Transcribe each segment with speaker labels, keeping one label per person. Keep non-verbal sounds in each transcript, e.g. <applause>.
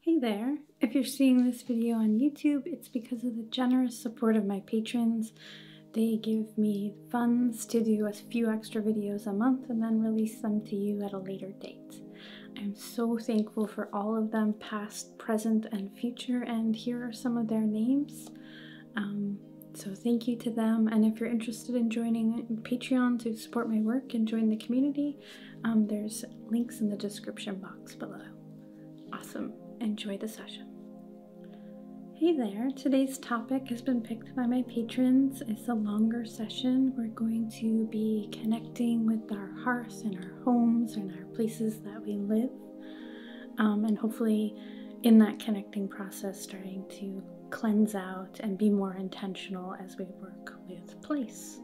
Speaker 1: Hey there! If you're seeing this video on YouTube, it's because of the generous support of my patrons. They give me funds to do a few extra videos a month and then release them to you at a later date. I'm so thankful for all of them, past, present, and future, and here are some of their names. Um, so thank you to them, and if you're interested in joining Patreon to support my work and join the community, um, there's links in the description box below. Awesome. Enjoy the session. Hey there. Today's topic has been picked by my patrons. It's a longer session. We're going to be connecting with our hearts and our homes and our places that we live. Um, and hopefully in that connecting process starting to cleanse out and be more intentional as we work place.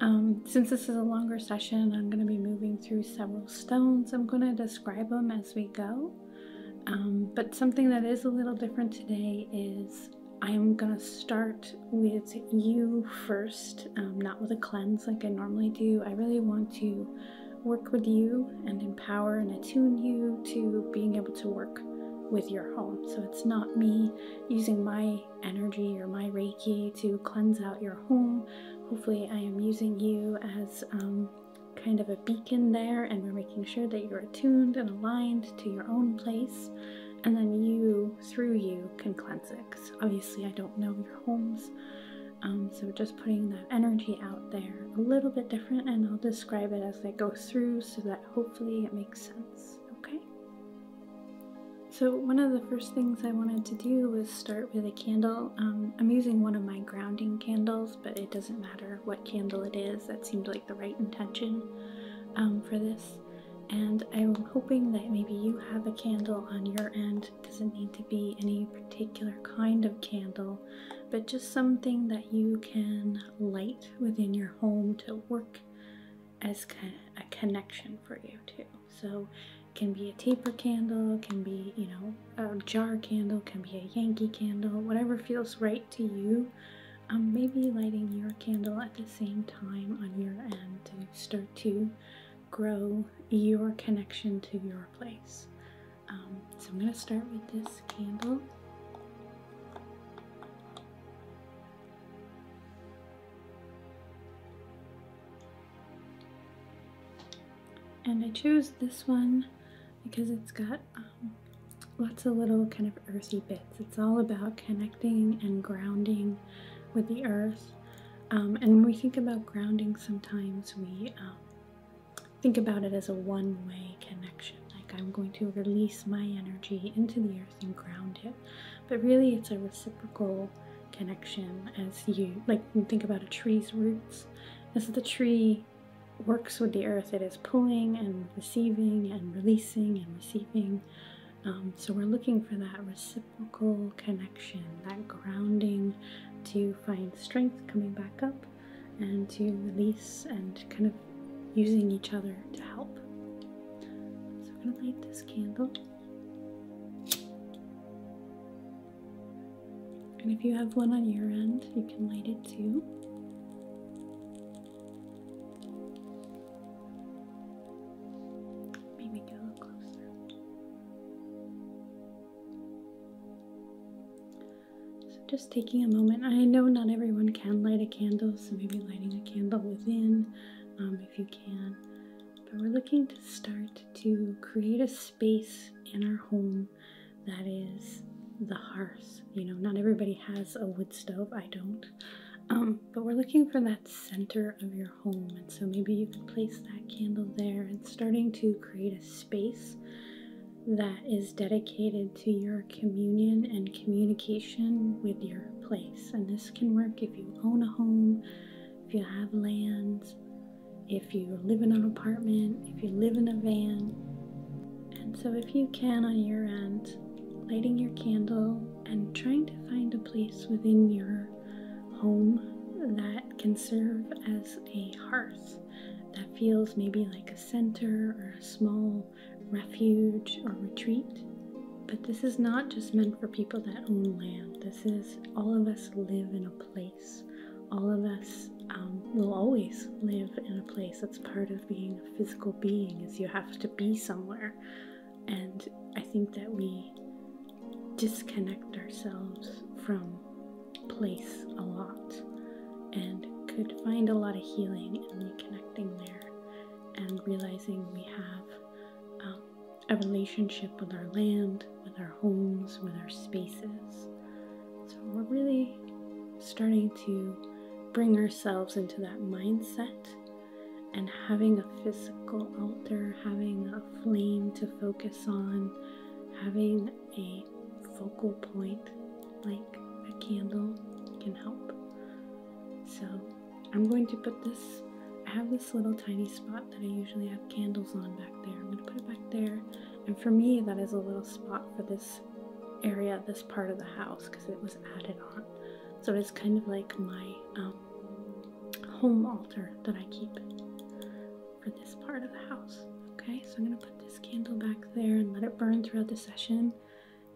Speaker 1: Um, since this is a longer session, I'm going to be moving through several stones. I'm going to describe them as we go. Um, but something that is a little different today is I'm going to start with you first, um, not with a cleanse like I normally do. I really want to work with you and empower and attune you to being able to work with your home. So it's not me using my energy or my Reiki to cleanse out your home. Hopefully, I am using you as um, kind of a beacon there, and we're making sure that you're attuned and aligned to your own place. And then you, through you, can cleanse it. obviously, I don't know your homes. Um, so just putting that energy out there a little bit different, and I'll describe it as I go through so that hopefully it makes sense okay? So one of the first things I wanted to do was start with a candle. Um, I'm using one of my grounding candles, but it doesn't matter what candle it is. That seemed like the right intention um, for this. And I'm hoping that maybe you have a candle on your end. doesn't need to be any particular kind of candle, but just something that you can light within your home to work as kind of a connection for you too. So it can be a taper candle, can be, you know, a jar candle, can be a Yankee candle, whatever feels right to you. Um, maybe lighting your candle at the same time on your end to start to grow your connection to your place. Um, so I'm going to start with this candle. And I chose this one because it's got um, lots of little kind of earthy bits. It's all about connecting and grounding with the earth. Um, and when we think about grounding, sometimes we um, think about it as a one-way connection. Like I'm going to release my energy into the earth and ground it but really it's a reciprocal connection as you like think about a tree's roots as the tree works with the earth it is pulling and receiving and releasing and receiving um, so we're looking for that reciprocal connection that grounding to find strength coming back up and to release and kind of using each other to help so i'm going to light this candle and if you have one on your end, you can light it too. Maybe get a little closer. So, just taking a moment. I know not everyone can light a candle, so maybe lighting a candle within, um, if you can, but we're looking to start to create a space in our home that is the hearth. You know, not everybody has a wood stove, I don't. Um, but we're looking for that center of your home, and so maybe you could place that candle there and starting to create a space that is dedicated to your communion and communication with your place. And this can work if you own a home, if you have land, if you live in an apartment, if you live in a van. And so, if you can on your end, lighting your candle and trying to find a place within your home that can serve as a hearth that feels maybe like a center or a small refuge or retreat. But this is not just meant for people that own land. This is all of us live in a place. All of us um, will always live in a place. That's part of being a physical being. Is you have to be somewhere, and I think that we disconnect ourselves from place a lot, and could find a lot of healing in reconnecting there, and realizing we have. Um, a relationship with our land, with our homes, with our spaces. So we're really starting to bring ourselves into that mindset and having a physical altar, having a flame to focus on, having a focal point like a candle can help. So I'm going to put this, I have this little tiny spot that I usually have candles on back there. I'm going to put it back there. And for me, that is a little spot for this area, this part of the house, because it was added on. So it's kind of like my um, home altar that I keep for this part of the house. Okay, so I'm going to put this candle back there and let it burn throughout the session.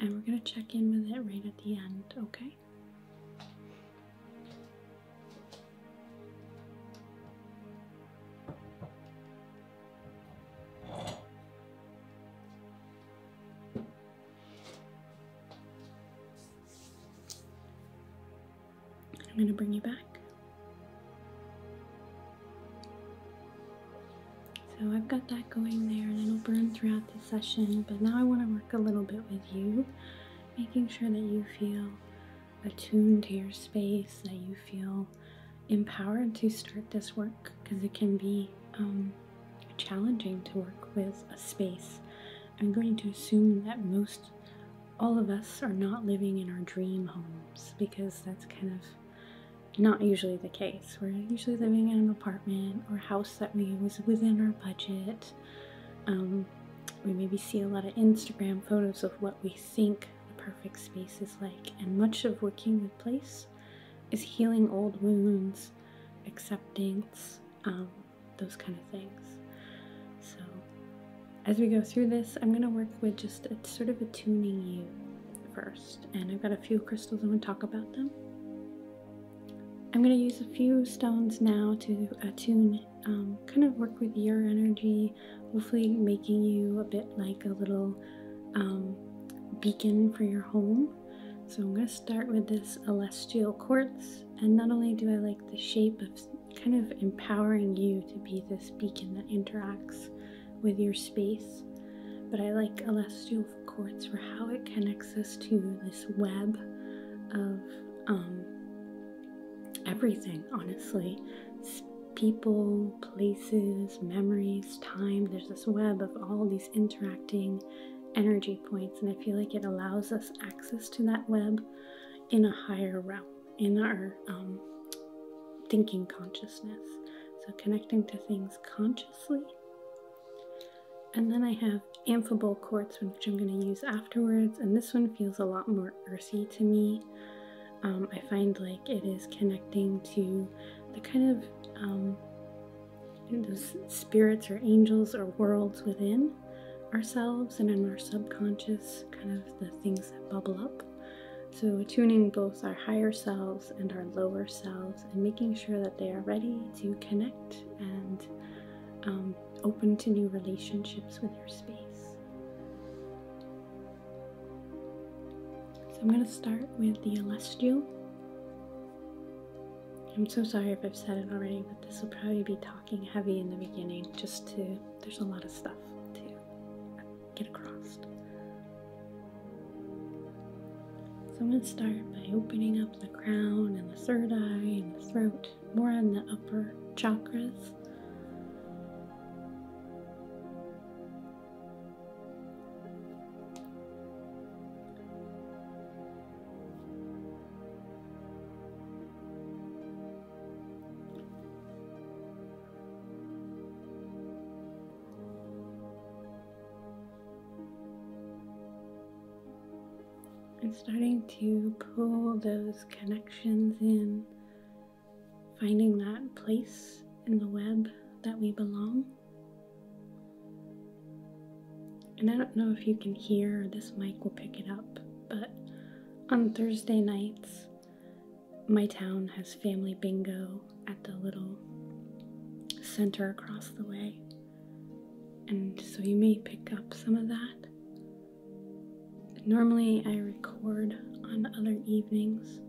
Speaker 1: And we're going to check in with it right at the end, okay? I'm going to bring you back. So I've got that going there and it'll burn throughout the session, but now I want to work a little bit with you making sure that you feel attuned to your space, that you feel empowered to start this work because it can be um, challenging to work with a space. I'm going to assume that most all of us are not living in our dream homes because that's kind of not usually the case. We're usually living in an apartment or house that we was within our budget um, we maybe see a lot of Instagram photos of what we think the perfect space is like, and much of working with place is healing old wounds, acceptance, um, those kind of things. So, as we go through this, I'm going to work with just sort of a tuning you first, and I've got a few crystals. I'm going to talk about them. I'm going to use a few stones now to attune, um, kind of work with your energy, hopefully making you a bit like a little um, beacon for your home. So I'm going to start with this celestial quartz, and not only do I like the shape of kind of empowering you to be this beacon that interacts with your space, but I like celestial quartz for how it connects us to web of um, everything, honestly. people, places, memories, time. There's this web of all these interacting energy points, and I feel like it allows us access to that web in a higher realm, in our um, thinking consciousness. So, connecting to things consciously and then I have amphibole quartz, which I'm going to use afterwards, and this one feels a lot more earthy to me. Um, I find like it is connecting to the kind of um, those spirits or angels or worlds within ourselves and in our subconscious, kind of the things that bubble up. So, tuning both our higher selves and our lower selves and making sure that they are ready to connect and um, open to new relationships with your space. So I'm going to start with the Celestial. I'm so sorry if I've said it already, but this will probably be talking heavy in the beginning just to, there's a lot of stuff to get across. So I'm going to start by opening up the crown and the third eye and the throat more on the upper chakras and starting to pull those connections in, finding that place in the web that we belong. And I don't know if you can hear, this mic will pick it up, but on Thursday nights, my town has family bingo at the little center across the way. And so you may pick up some of that. Normally, I record on other evenings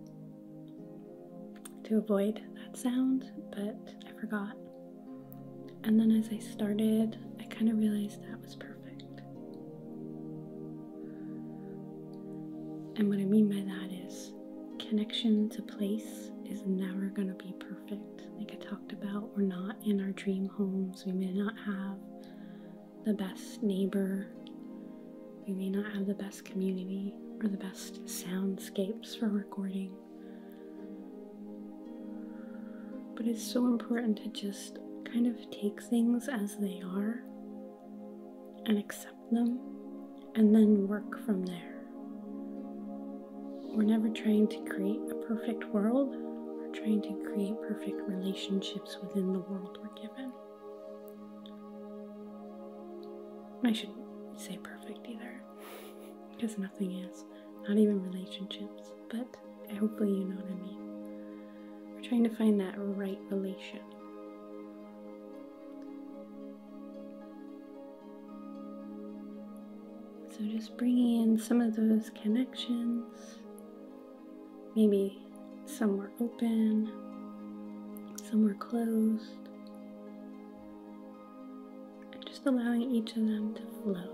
Speaker 1: to avoid that sound, but I forgot. And then as I started, I kind of realized that was perfect. And what I mean by that is connection to place is never going to be perfect like I talked about. We're not in our dream homes. We may not have the best neighbor. We may not have the best community or the best soundscapes for recording. But it's so important to just kind of take things as they are and accept them and then work from there. We're never trying to create a perfect world, we're trying to create perfect relationships within the world we're given. I shouldn't say perfect either, because nothing is, not even relationships, but hopefully you know what I mean. We're trying to find that right relation. So, just bringing in some of those connections Maybe some were open, some were closed. And just allowing each of them to flow.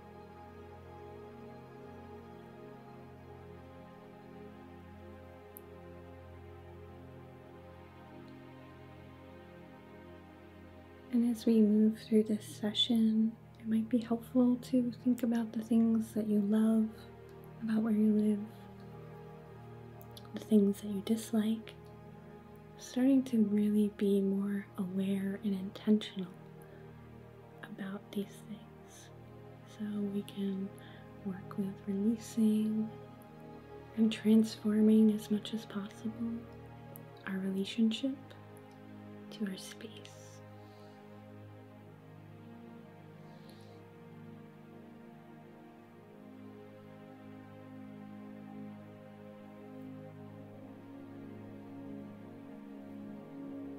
Speaker 1: And as we move through this session, it might be helpful to think about the things that you love about where you live, the things that you dislike, starting to really be more aware and intentional about these things. So we can work with releasing and transforming as much as possible our relationship to our space.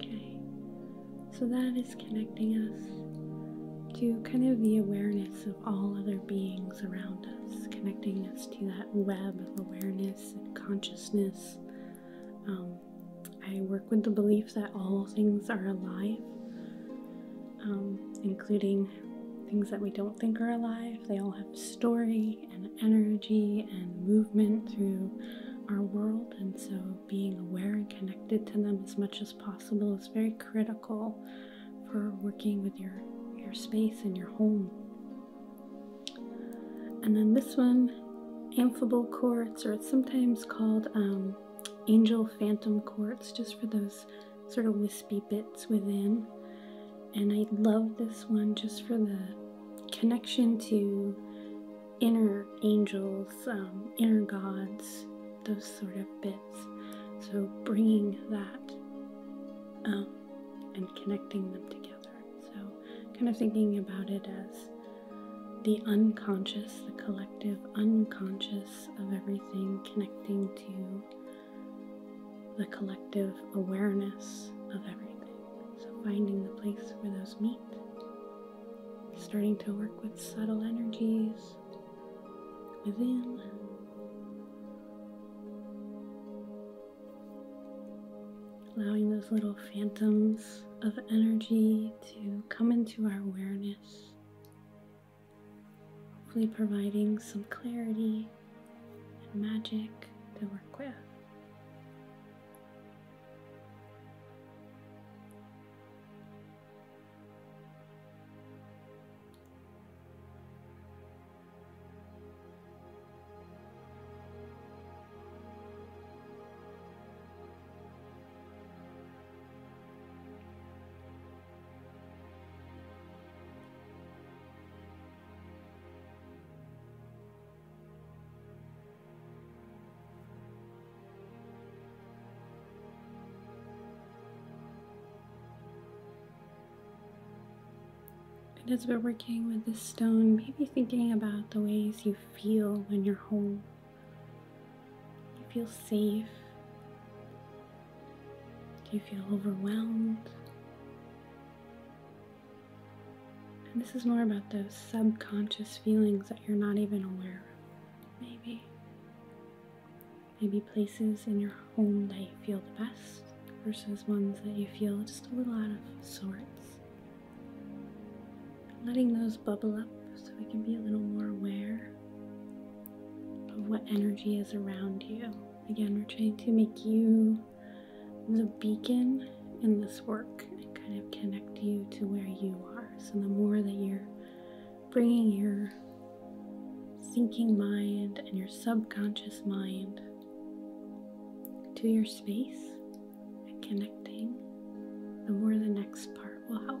Speaker 1: Okay, so that is connecting us to kind of the awareness of all other beings around us, connecting us to that web of awareness and consciousness um, I work with the belief that all things are alive, um, including things that we don't think are alive. They all have story and energy and movement through our world, and so being aware and connected to them as much as possible is very critical for working with your your space and your home. And then this one, amphibole quartz, or it's sometimes called um, angel phantom courts just for those sort of wispy bits within. And I love this one just for the connection to inner angels, um, inner gods, those sort of bits. So bringing that um, and connecting them together. So kind of thinking about it as the unconscious, the collective unconscious of everything connecting to the collective awareness of everything. So, finding the place where those meet, starting to work with subtle energies within. Allowing those little phantoms of energy to come into our awareness hopefully providing some clarity and magic to work with. And as we're working with this stone, maybe thinking about the ways you feel when you're whole, do you feel safe? Do you feel overwhelmed? And this is more about those subconscious feelings that you're not even aware of, maybe. Maybe places in your home that you feel the best versus ones that you feel just a little out of sorts letting those bubble up so we can be a little more aware of what energy is around you. Again, we're trying to make you the beacon in this work and kind of connect you to where you are. So, the more that you're bringing your sinking mind and your subconscious mind to your space and connecting, the more the next part will help.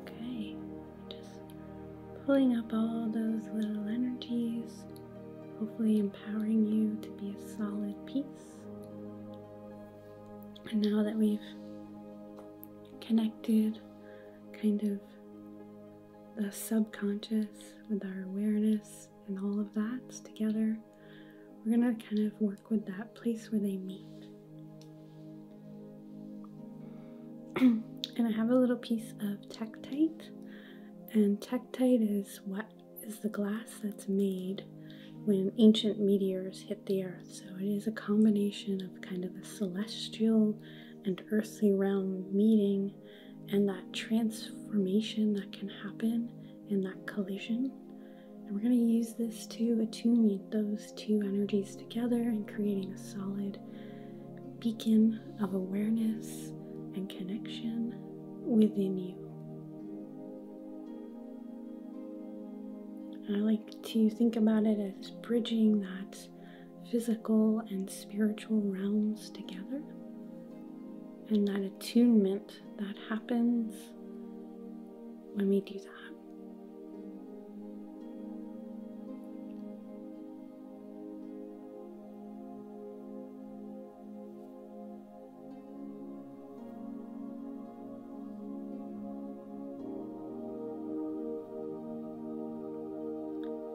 Speaker 1: Okay, just pulling up all those little energies, hopefully empowering you to be a solid piece. And now that we've connected kind of the subconscious with our awareness and all of that together. We're going to kind of work with that place where they meet. <clears throat> and I have a little piece of Tektite, and Tektite is what is the glass that's made when ancient meteors hit the earth. So it is a combination of kind of a celestial and earthly realm meeting and that transformation that can happen in that collision. we're going to use this to attune those two energies together and creating a solid beacon of awareness and connection within you. I like to think about it as bridging that physical and spiritual realms together. And that attunement that happens when we do that.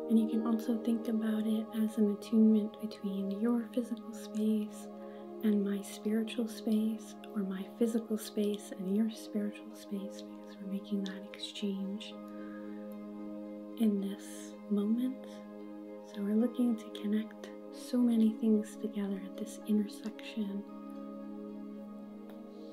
Speaker 1: And you can also think about it as an attunement between your physical space and my spiritual space, or my physical space and your spiritual space, because we're making that exchange in this moment. So we're looking to connect so many things together at this intersection.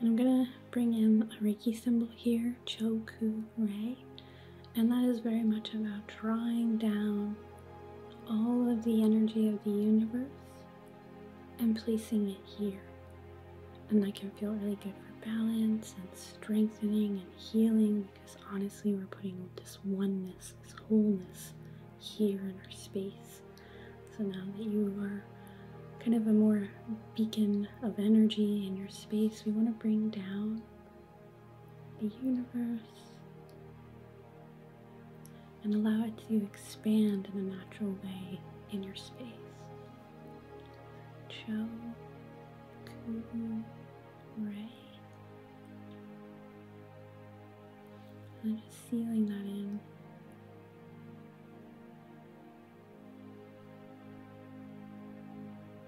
Speaker 1: And I'm gonna bring in a Reiki symbol here, Choku Rei. And that is very much about drawing down all of the energy of the universe and placing it here. And that can feel really good for balance and strengthening and healing because honestly, we're putting this oneness, this wholeness here in our space. So now that you are kind of a more beacon of energy in your space, we want to bring down the universe, and allow it to expand in a natural way in your space. Cho Kun Ray. I'm just sealing that in.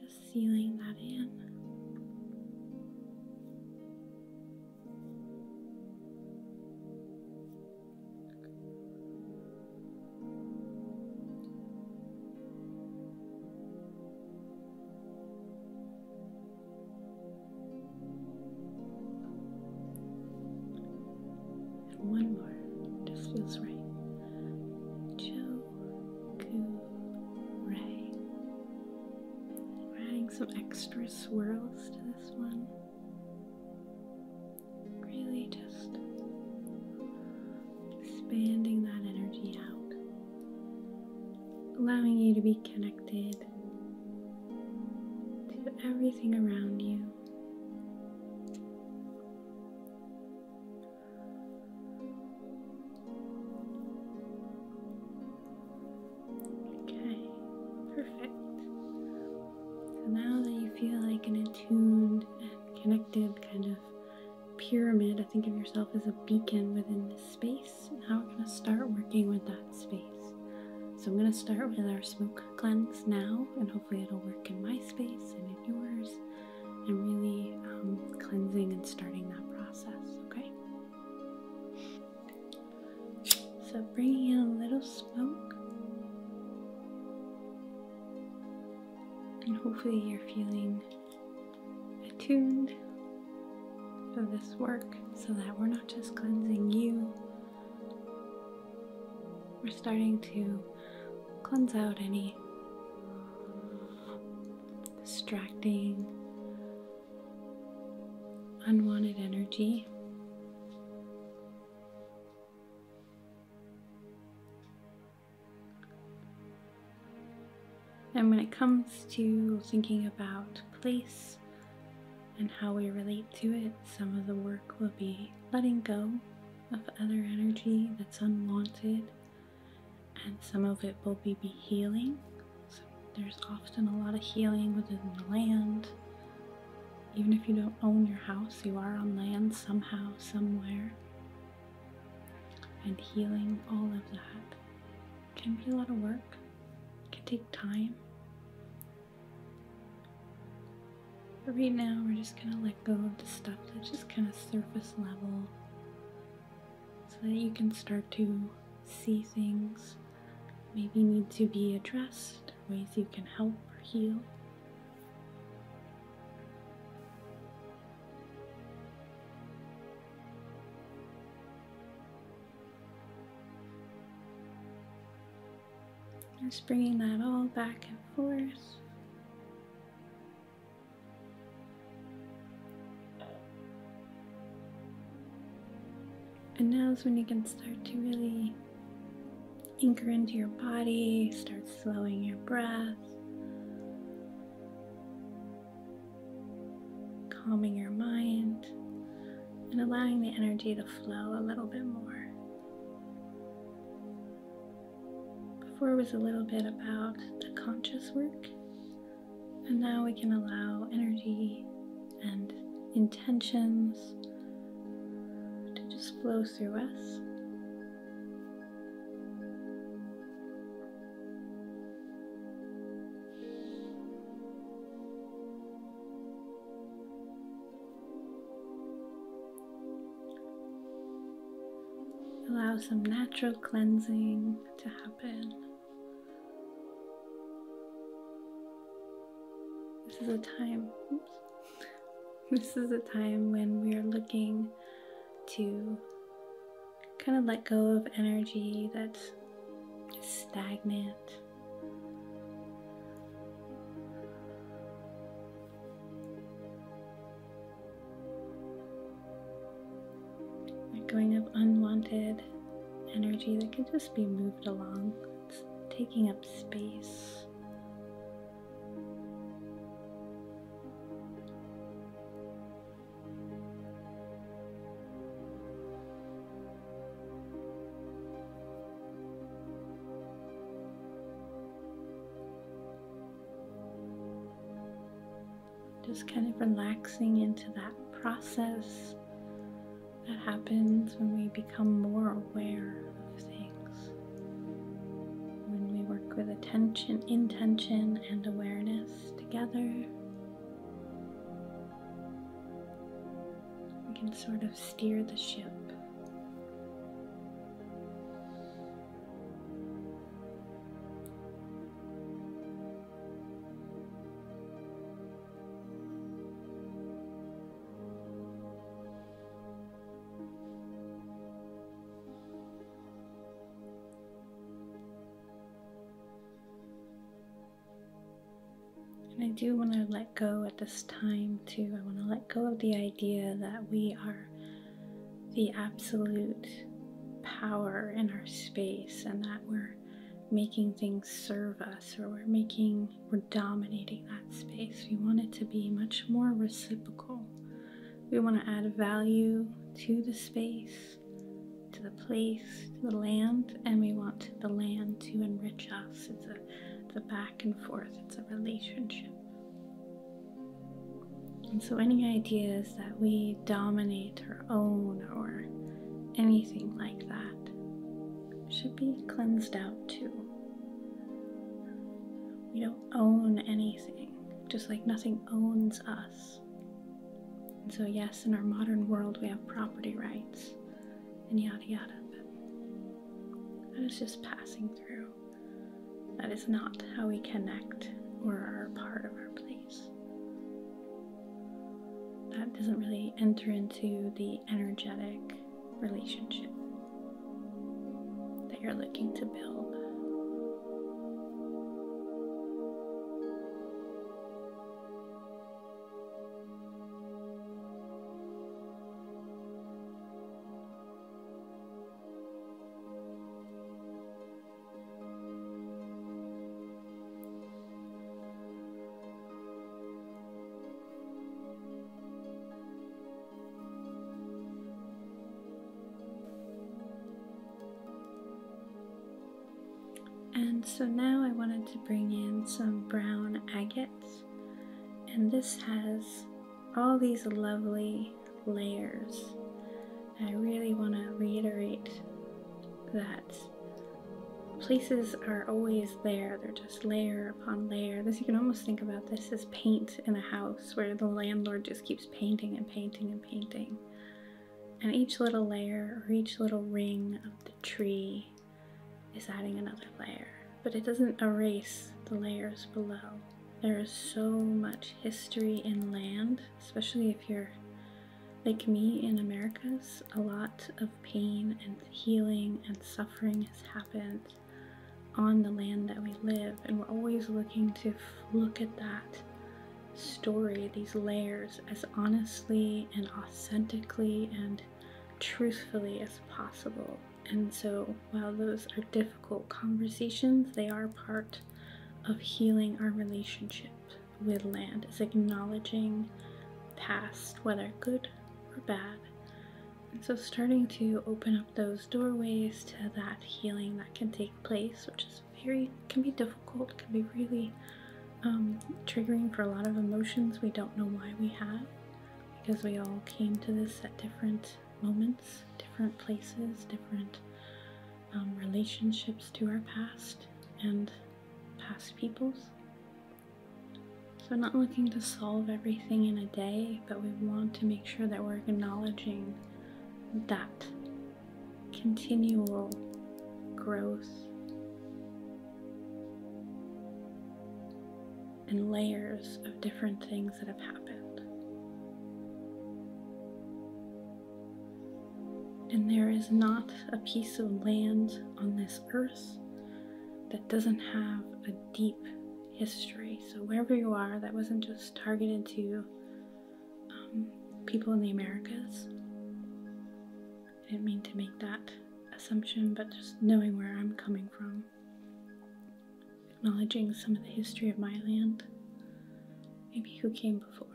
Speaker 1: Just sealing that in one more, it feels right. Choku Ray. We're adding some extra swirls to this one. Really just expanding that energy out, allowing you to be connected to everything around you. Okay, perfect. So now that you feel like an attuned and connected kind of pyramid, I think of yourself as a beacon within this space. Now we're going to start working with that space. So I'm going to start with our smoke cleanse now, and hopefully it'll work in my space and in yours, and really um, cleansing and starting that process, okay? So bringing in a little smoke, and hopefully you're feeling attuned for this work so that we're not just cleansing you, we're starting to cleanse out any distracting, unwanted energy and when it comes to thinking about place and how we relate to it, some of the work will be letting go of other energy that's unwanted, and some of it will be, healing. there's often a lot of healing within the land, even if you don't own your house, you are on land somehow, somewhere. And healing all of that can be a lot of work, can take time. But right now, we're just gonna let go of the stuff that's just kind of surface level so that you can start to see things maybe need to be addressed ways you can help or heal. Just bringing that all back and forth. And now is when you can start to really anchor into your body, start slowing your breath, calming your mind, and allowing the energy to flow a little bit more. Before was a little bit about the conscious work, and now we can allow energy and intentions to just flow through us. Allow some natural cleansing to happen. This is a time, this is a time when we are looking to kind of let go of energy that's stagnant. Like going of unwanted energy that can just be moved along it's taking up space. Just kind of relaxing into that process that happens when we become more aware of things. When we work with attention, intention, and awareness together, we can sort of steer the ship. And I do want to let go at this time too. I want to let go of the idea that we are the absolute power in our space and that we're making things serve us or we're making we're dominating that space. We want it to be much more reciprocal. We want to add value to the space, to the place, to the land, and we want the land to enrich us. It's a, it's back and forth, it's a relationship. And so, any ideas that we dominate or own or anything like that should be cleansed out too. We don't own anything, just like nothing owns us. so, yes, in our modern world, we have property rights and yada yada, but that is just passing through. That is not how we connect or are part of our place. That doesn't really enter into the energetic relationship that you're looking to build. And so now I wanted to bring in some brown agates, and this has all these lovely layers. I really want to reiterate that places are always there, they're layer upon layer. This you can almost think about this as paint in a house where the landlord just keeps painting and painting and painting. And each little layer or each little ring of the tree is adding another layer, but it doesn't erase the layers below. There is so much history in land, especially if you're like me in Americas, a lot of pain and healing and suffering has happened on the land that we live, and we're always looking to look at that story, these layers, as honestly and authentically and truthfully as possible. And so, while those are difficult conversations, they are part of healing our relationship with land, is acknowledging past, whether good or bad, so, starting to open up those doorways to that healing that can take place, which is very, can be difficult, can be really um, triggering for a lot of emotions we don't know why we have, because we all came to this at different moments, different places, different um, relationships to our past and past peoples. So, not looking to solve everything in a day, but we want to make sure that we're acknowledging that continual growth and layers of different things that have happened. And there is not a piece of land on this earth that doesn't have a deep history. So, wherever you are, that wasn't just targeted to um, people in the Americas. I didn't mean to make that assumption, but just knowing where I'm coming from, acknowledging some of the history of my land, maybe who came before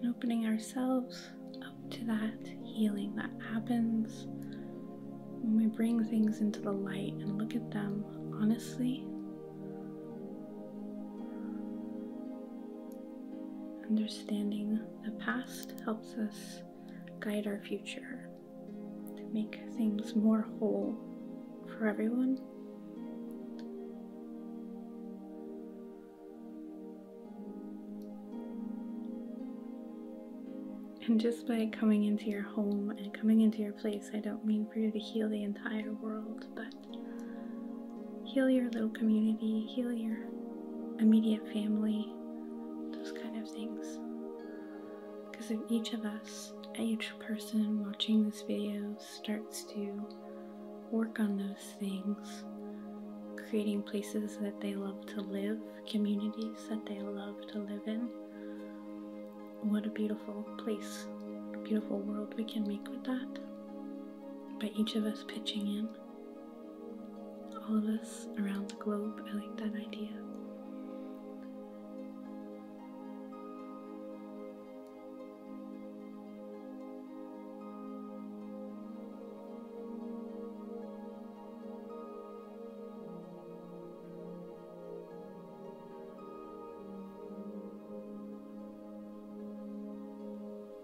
Speaker 1: and opening ourselves up to that healing that happens when we bring things into the light and look at them honestly Understanding the past helps us guide our future to make things more whole for everyone. And just by coming into your home and coming into your place, I don't mean for you to heal the entire world, but heal your little community, heal your immediate family, those kind of things. Because if each of us, each person watching this video starts to work on those things, creating places that they love to live, communities that they love to live in, what a beautiful place, beautiful world we can make with that by each of us pitching in. All of us around the globe. I like that idea.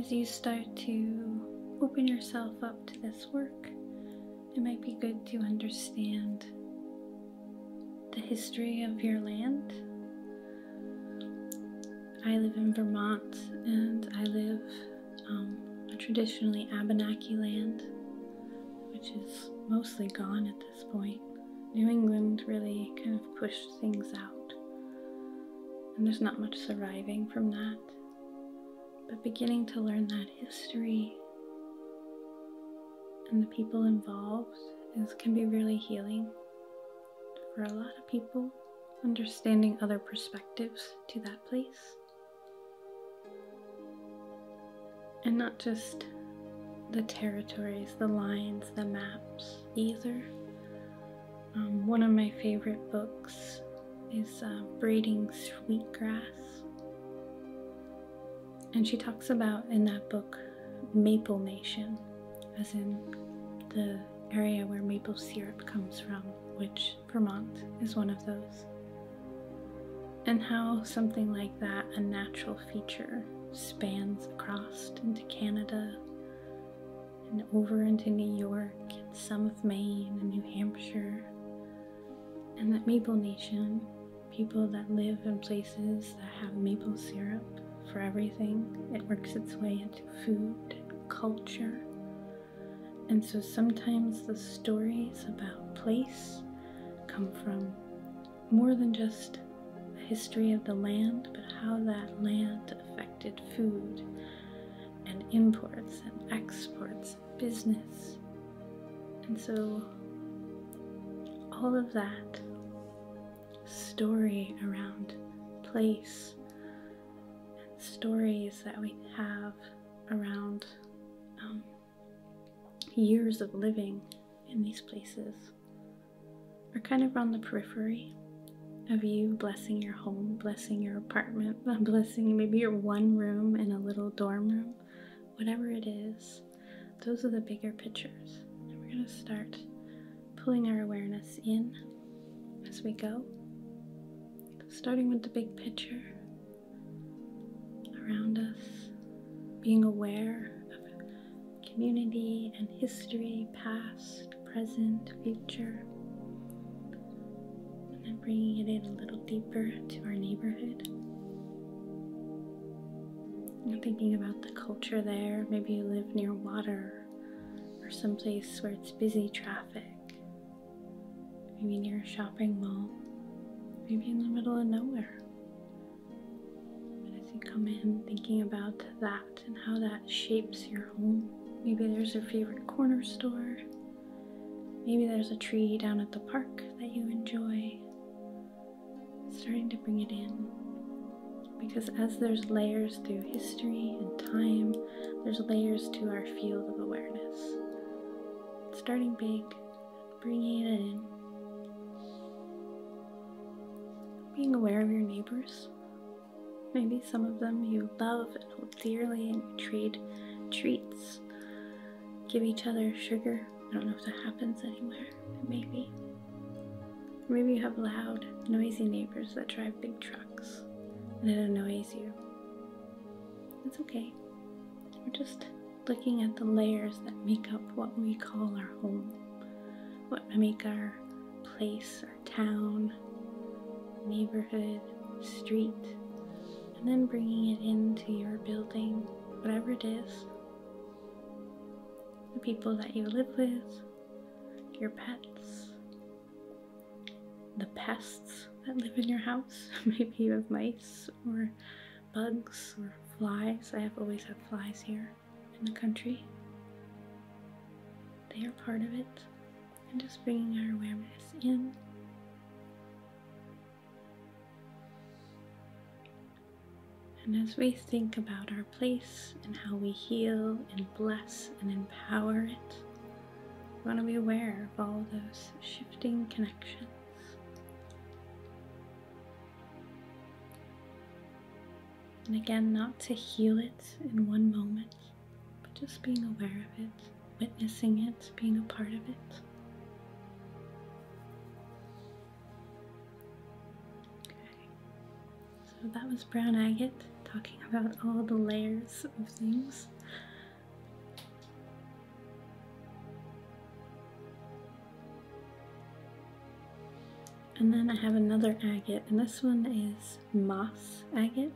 Speaker 1: as you start to open yourself up to this work, it might be good to understand the history of your land. I live in Vermont and I live um, on traditionally Abenaki land, which is mostly gone at this point. New England really kind of pushed things out, and there's not much surviving from that but beginning to learn that history and the people involved is can be really healing for a lot of people understanding other perspectives to that place and not just the territories the lines the maps either um, one of my favorite books is uh, braiding sweetgrass and she talks about in that book Maple Nation, as in the area where maple syrup comes from, which Vermont is one of those. And how something like that, a natural feature, spans across into Canada and over into New York and some of Maine and New Hampshire and that Maple Nation, people that live in places that have maple syrup for everything, it works its way into food, culture. And so sometimes the stories about place come from more than just the history of the land, but how that land affected food and imports and exports business. And so all of that story around place and stories that we have around um, years of living in these places are kind of on the periphery of you blessing your home, blessing your apartment, <laughs> blessing maybe your one room in a little dorm room, whatever it is, those are the bigger pictures. we're going to start pulling our awareness in as we go, starting with the big picture around us, being aware of community and history, past, present, future and am bringing it in a little deeper to our neighborhood. I'm thinking about the culture there. Maybe you live near water or someplace where it's busy traffic. Maybe near a shopping mall. Maybe in the middle of nowhere. But as you come in, thinking about that and how that shapes your home. Maybe there's your favorite corner store. Maybe there's a tree down at the park that you enjoy. Starting to bring it in. Because as there's layers through history and time, there's layers to our field of awareness. Starting big, bringing it in. Being aware of your neighbors. Maybe some of them you love and hold dearly and you trade treats give each other sugar. I don't know if that happens anywhere. Maybe. Maybe you have loud, noisy neighbors that drive big trucks and it annoys you. It's okay. We're just looking at the layers that make up what we call our home, what make our place, our town, neighborhood, street, and then bringing it into your building, whatever it is the people that you live with, your pets, the pests that live in your house. <laughs> Maybe you have mice or bugs or flies. I have always had flies here in the country. They are part of it. And just bringing our awareness in and as we think about our place and how we heal and bless and empower it, we want to be aware of all those shifting connections. And again, not to heal it in one moment, but just being aware of it, witnessing it, being a part of it. So that was Brown Agate talking about all the layers of things. And then I have another agate, and this one is moss agate,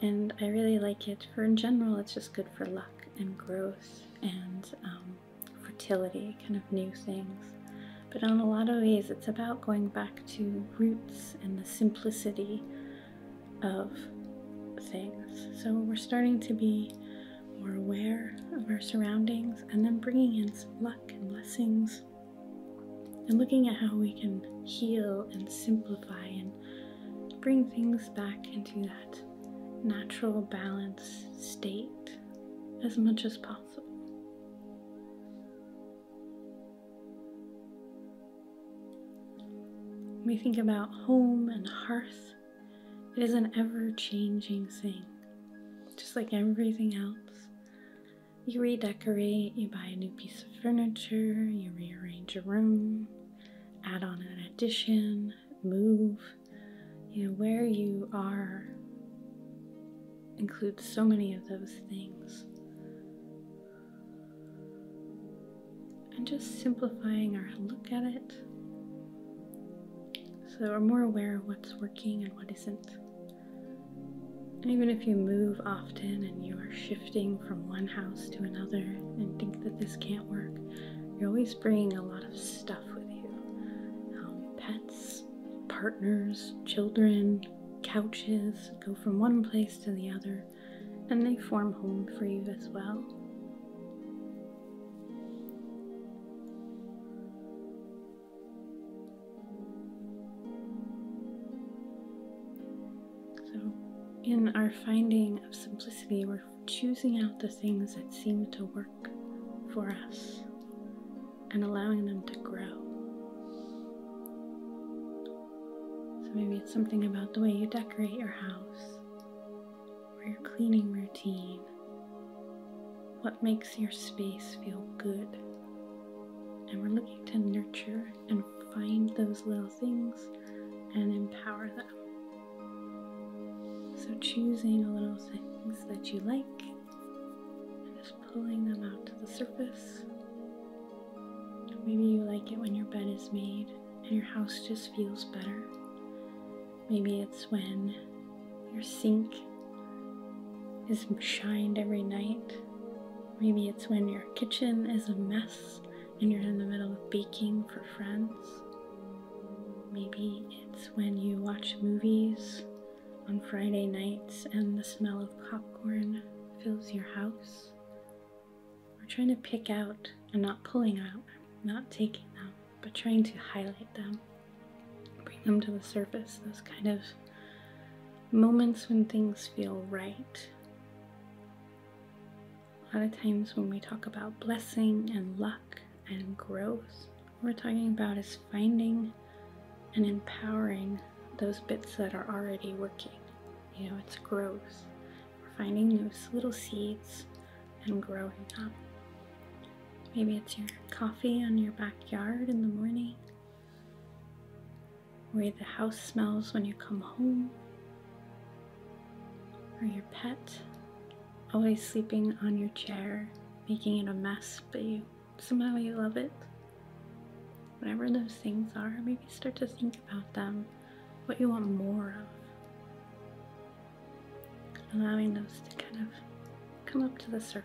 Speaker 1: and I really like it. For in general, it's just good for luck and growth and um, fertility, kind of new things. But in a lot of ways, it's about going back to roots and the simplicity of things. So we're starting to be more aware of our surroundings and then bringing in some luck and blessings and looking at how we can heal and simplify and bring things back into that natural balance state as much as possible. we think about home and hearth, it is an ever changing thing, just like everything else. You redecorate, you buy a new piece of furniture, you rearrange a room, add on an addition, move, you know, where you are includes so many of those things. And just simplifying our look at it so we're more aware of what's working and what isn't. And even if you move often and you are shifting from one house to another and think that this can't work, you're always bringing a lot of stuff with you um, pets, partners, children, couches go from one place to the other, and they form home for you as well. So, in our finding of simplicity, we're choosing out the things that seem to work for us and allowing them to grow. So maybe it's something about the way you decorate your house or your cleaning routine. What makes your space feel good? And we're looking to nurture and find those little things and empower them. So choosing a little things that you like and just pulling them out to the surface. Maybe you like it when your bed is made and your house just feels better. Maybe it's when your sink is shined every night. Maybe it's when your kitchen is a mess and you're in the middle of baking for friends. Maybe it's when you watch movies on Friday nights and the smell of popcorn fills your house. Or trying to pick out and not pulling out, not taking them, but trying to highlight them, bring them to the surface, those kind of moments when things feel right. A lot of times when we talk about blessing and luck, and growth. What we're talking about is finding and empowering those bits that are already working. You know, it's growth. We're finding those little seeds and growing up. Maybe it's your coffee on your backyard in the morning, where the house smells when you come home, or your pet always sleeping on your chair, making it a mess, but you somehow you love it. Whatever those things are, maybe start to think about them, what you want more of. Allowing those to kind of come up to the surface.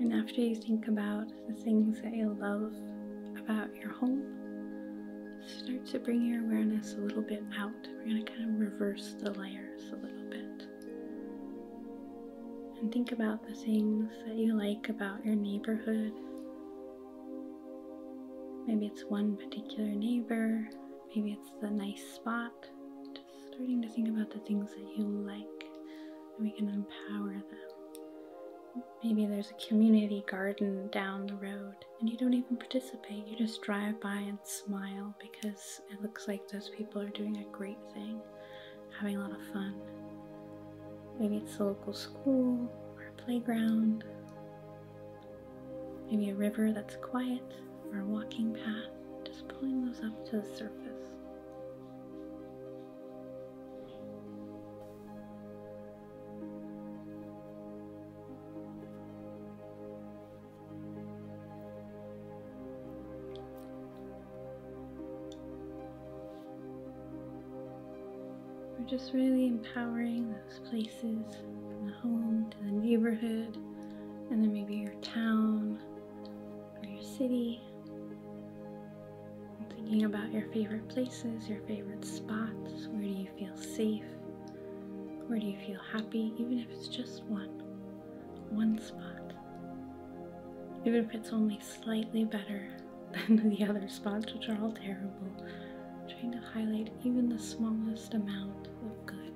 Speaker 1: And after you think about the things that you love about your home, start to bring your awareness a little bit out. We're going to kind of reverse the layers a little bit. And think about the things that you like about your neighborhood. Maybe it's one particular neighbor, Maybe it's the nice spot. Just starting to think about the things that you like and we can empower them. Maybe there's a community garden down the road and you don't even participate. You just drive by and smile because it looks like those people are doing a great thing, having a lot of fun. Maybe it's the local school or a playground. Maybe a river that's quiet or a walking path, just pulling those up to the surface. We're just really empowering those places from the home to the neighborhood, and then maybe your town or your city. thinking about your favorite places, your favorite spots. Where do you feel safe? Where do you feel happy? Even if it's just one, one spot. Even if it's only slightly better <laughs> than the other spots, which are all terrible. Trying to highlight even the smallest amount of good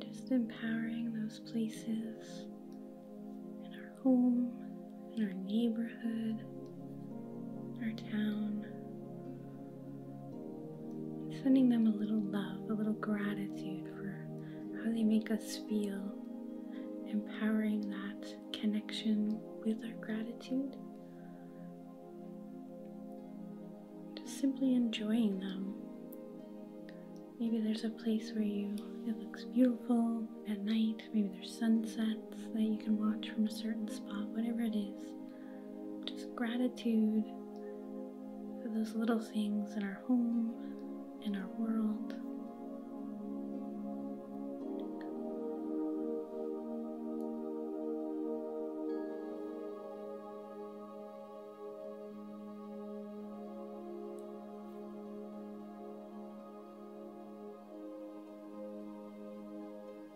Speaker 1: Just empowering those places in our home, in our neighborhood, in our town, sending them a little love, a little gratitude for how they make us feel, empowering that connection with our gratitude. Just simply enjoying them. Maybe there's a place where you it looks beautiful at night. Maybe there's sunsets that you can watch from a certain spot. Whatever it is, just gratitude for those little things in our home, in our world.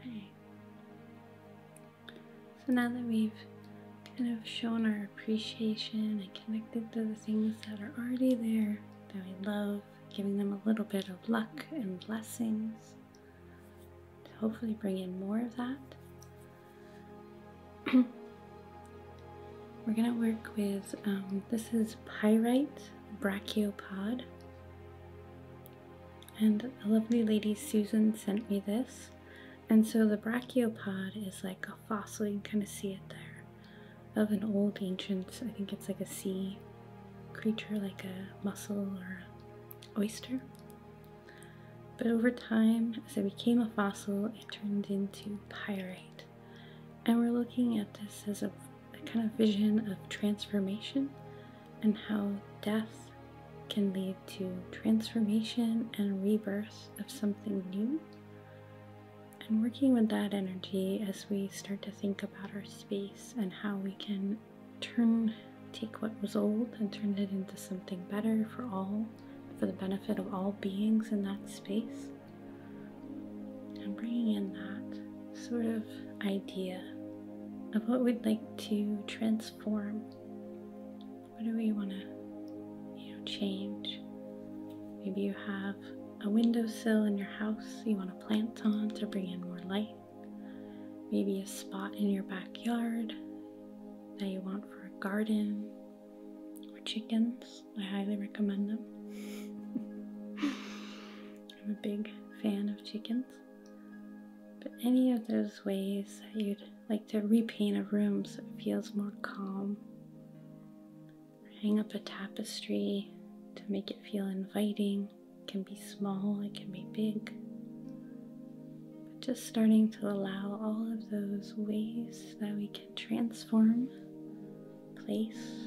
Speaker 1: Okay. So now that we've kind of shown our appreciation and connected to the things that are already there, that we love, giving them a little bit of luck and blessings to hopefully bring in more of that. <clears throat> We're going to work with um, this is pyrite brachiopod. And a lovely lady, Susan, sent me this. And so the brachiopod is like fossil, you can kind of see it there, of an old ancient, I think it's like a sea creature, like a mussel or oyster. But over time, as it became a fossil, it turned into pyrite. And we're looking at this as a kind of vision of transformation and how death can lead to transformation and rebirth of something new and working with that energy as we start to think about our space and how we can turn take what was old and turn it into something better for all for the benefit of all beings in that space and bringing in that sort of idea of what we'd like to transform what do we want to you know change maybe you have a windowsill in your house you want to plant on to bring in more light, maybe a spot in your backyard that you want for a garden or chickens. I highly recommend them. <laughs> I'm a big fan of chickens. But any of those ways that you'd like to repaint a room so it feels more calm hang up a tapestry to make it feel inviting. It can be small, it can be big. But just starting to allow all of those ways that we can transform place.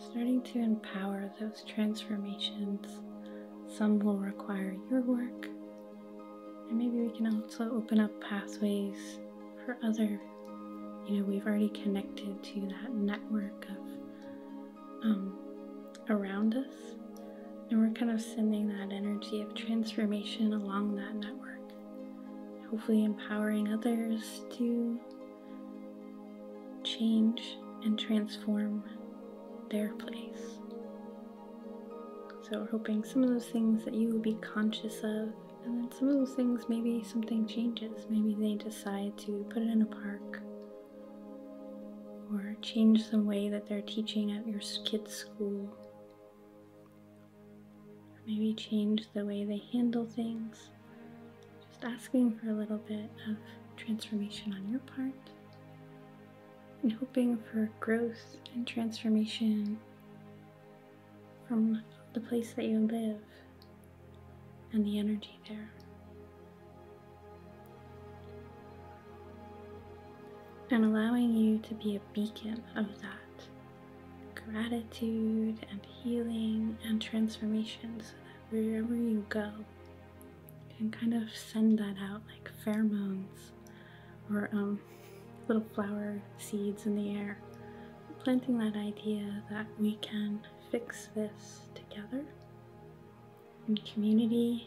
Speaker 1: Starting to empower those transformations. Some will require your work, and maybe we can also open up pathways for other, you know, we've already connected to that network of um, around us. And we're kind of sending that energy of transformation along that network, hopefully empowering others to change and transform their place. So, hoping some of those things that you will be conscious of and then some of those things, maybe something changes. Maybe they decide to put it in a park or change the way that they're teaching at your kids' school. maybe change the way they handle things. Just asking for a little bit of transformation on your part and hoping for growth and transformation from the place that you live and the energy there. And allowing you to be a beacon of that gratitude and healing and transformation so that wherever you go, you can kind of send that out like pheromones or um, little flower seeds in the air. Planting that idea that we can fix this together in community.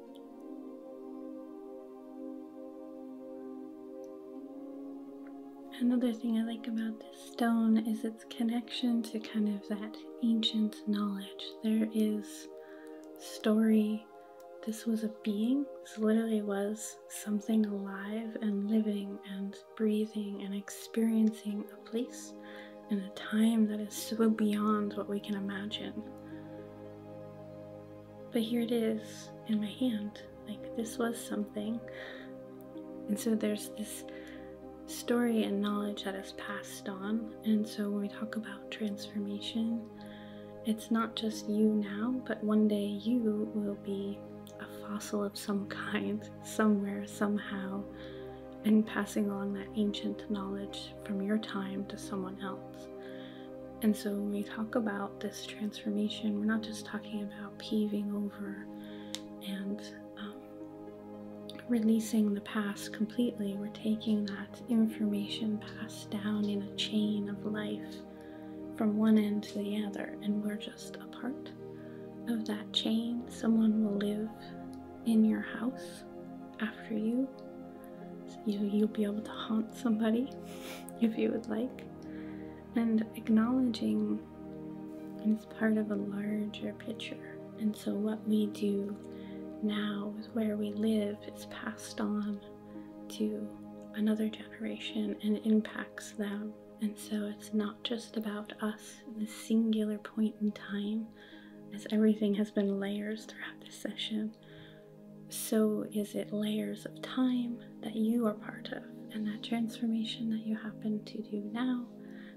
Speaker 1: Another thing I like about this stone is its connection to kind of that ancient knowledge. There is story. This was a being. This literally was something alive and living and breathing and experiencing a place and a time that is so beyond what we can imagine. But here it is in my hand. Like this was something. And so there's this story and knowledge that is passed on. And so when we talk about transformation, it's not just you now, but one day you will be a fossil of some <laughs> kind, somewhere, somehow, and passing along that ancient knowledge from your time to someone else. And so when we talk about this transformation, we're not just talking about peeing over and um, releasing the past completely. We're taking that information passed down in a chain of life from one end to the other, and we're just a part of that chain. Someone will live in your house after you, you you'll be able to haunt somebody <laughs> if you would like and acknowledging is part of a larger picture and so what we do now with where we live is passed on to another generation and impacts them and so it's not just about us the singular point in time as everything has been layers throughout this session so is it layers of time that you are part of, and that transformation that you happen to do now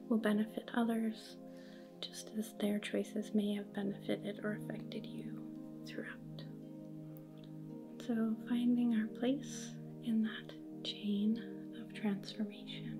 Speaker 1: will benefit others just as their choices may have benefited or affected you throughout. So, finding our place in that chain of transformation.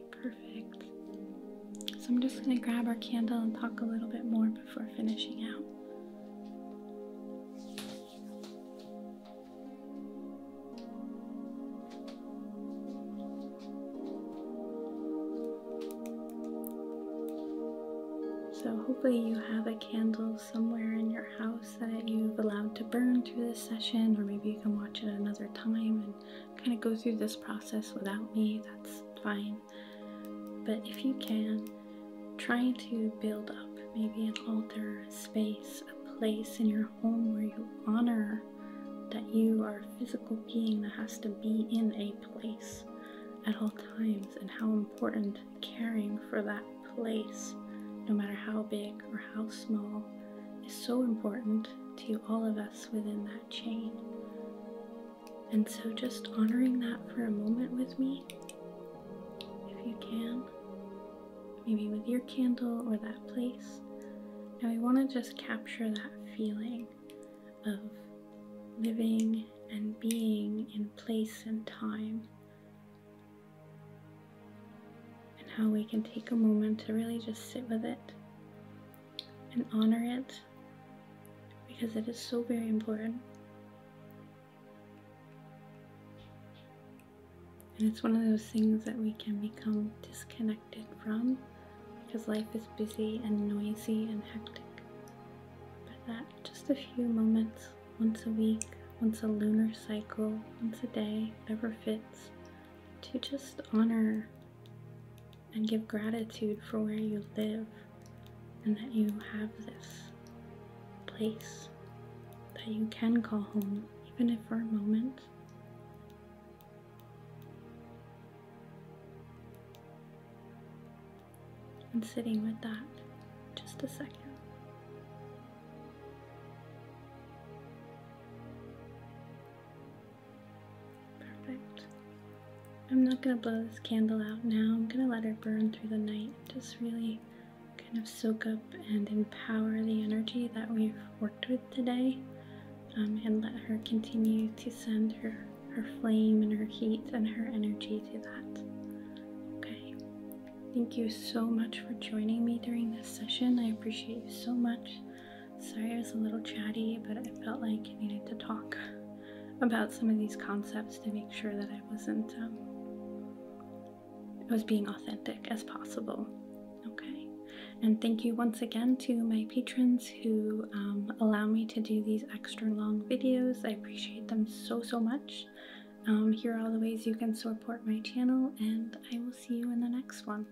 Speaker 1: perfect. So I'm just going to grab our candle and talk a little bit more before finishing out. So hopefully you have a candle somewhere in your house that you've allowed to burn through this session or maybe you can watch it another time and kind of go through this process without me, that's fine. But if you can, try to build up maybe an altar, a space, a place in your home where you honor that you are a physical being that has to be in a place at all times and how important caring for that place, no matter how big or how small, is so important to all of us within that chain. And so, just honoring that for a moment with me, if you can, maybe with your candle or that place. And we want to just capture that feeling of living and being in place and time. And how we can take a moment to really just sit with it and honor it because it is so very important. And it's one of those things that we can become disconnected from because life is busy and noisy and hectic. But that just a few moments once a week, once a lunar cycle, once a day, ever fits, to just honor and give gratitude for where you live and that you have this place that you can call home, even if for a moment. And sitting with that just a second. Perfect. I'm not going to blow this candle out now. I'm going to let her burn through the night. Just really kind of soak up and empower the energy that we've worked with today um, and let her continue to send her, her flame and her heat and her energy to that. Okay. Thank you so much for joining me during this session. I appreciate you so much. Sorry I was a little chatty, but I felt like I needed to talk about some of these concepts to make sure that I wasn't, um, was being authentic as possible. Okay. And thank you once again to my patrons who um, allow me to do these extra long videos. I appreciate them so, so much. Um, here are all the ways you can support my channel, and I will see you in the next one.